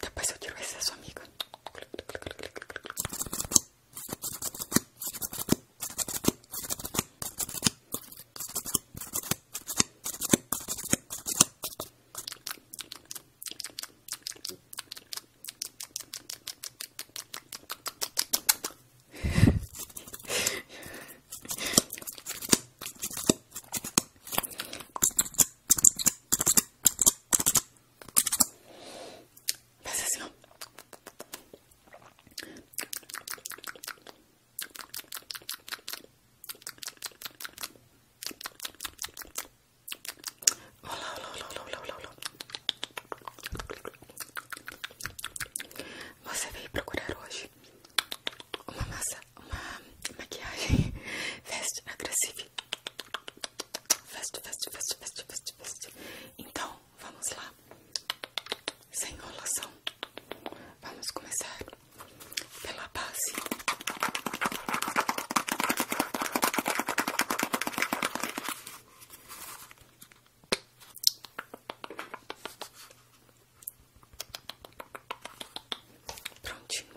Depois eu tiro esse da sua amiga. Faz assim, ó. Olá, olá, olá, olá, olá, olá. Você veio procurar hoje uma massa, uma maquiagem fast agressiva Fast, fast, fast, fast, fast, fast. Então, vamos lá. Sem enrolação. Vamos começar pela base. Prontinho.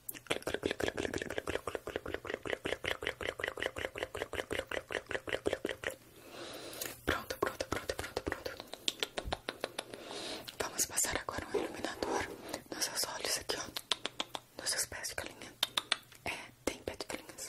Pronto, pronto, pronto, pronto, pronto. Vamos passar agora um iluminador nos seus olhos aqui, ó. Nos seus pés de galinha. É, tem pé de galinhas.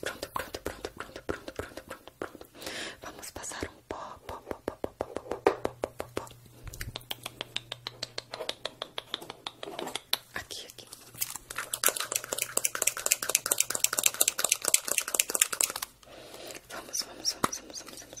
Pronto, pronto, pronto, pronto, pronto, pronto, pronto, pronto. Vamos passar um pó, pó, pó, pó, pó, pó, pó, pó, pó, pó, pó. Aqui, aqui. Vamos, vamos, vamos, vamos, vamos, vamos.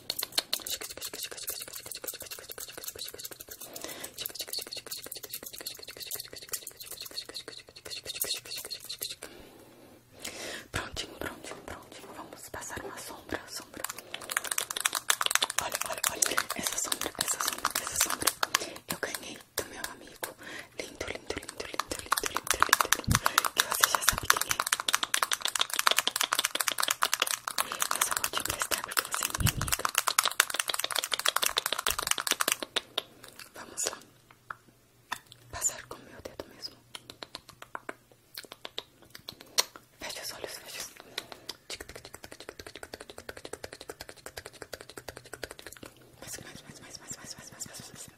Prontinho, prontinho, prontinho. Vamos passar uma sombra, sombra. Olha, olha, olha. Essa sombra, essa sombra, essa sombra. Eu ganhei do meu amigo. Lindo, lindo, lindo, lindo, lindo, lindo, lindo, lindo. Que você já sabe quem é. Eu só vou te emprestar porque você é minha amiga. Vamos lá. Passar com o meu dedo mesmo. Fecha os olhos, fecha os olhos. Mais, mais, mais, mais, mais, mais, mais, mais, mais, mais.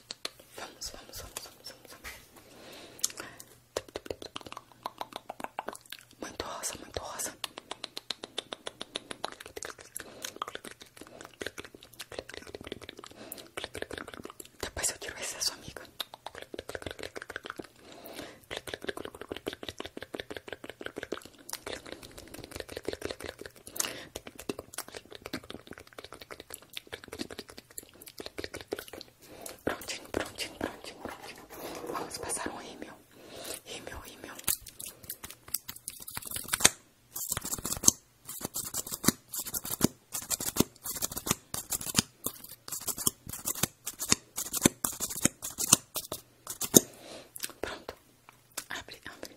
Vamos, vamos, vamos, vamos, vamos, vamos. Muito rosa, muito rosa. Depois eu tiro esse da sua amiga. Prontinho, prontinho, prontinho, prontinho. Vamos passar um rímel. Rímel, rímel. Pronto. Abre, abre.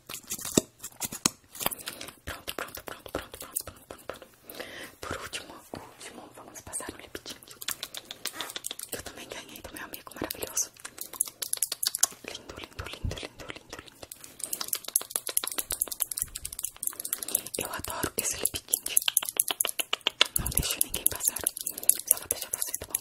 Pronto, pronto, pronto, pronto, pronto, pronto, pronto, pronto. Por último, último, vamos passar um lip tint. Eu também ganhei do meu amigo maravilhoso. Lindo, lindo, lindo, lindo, lindo, lindo. Eu adoro esse lip tint. Não deixa ninguém passar. Só vou deixar você, tá bom?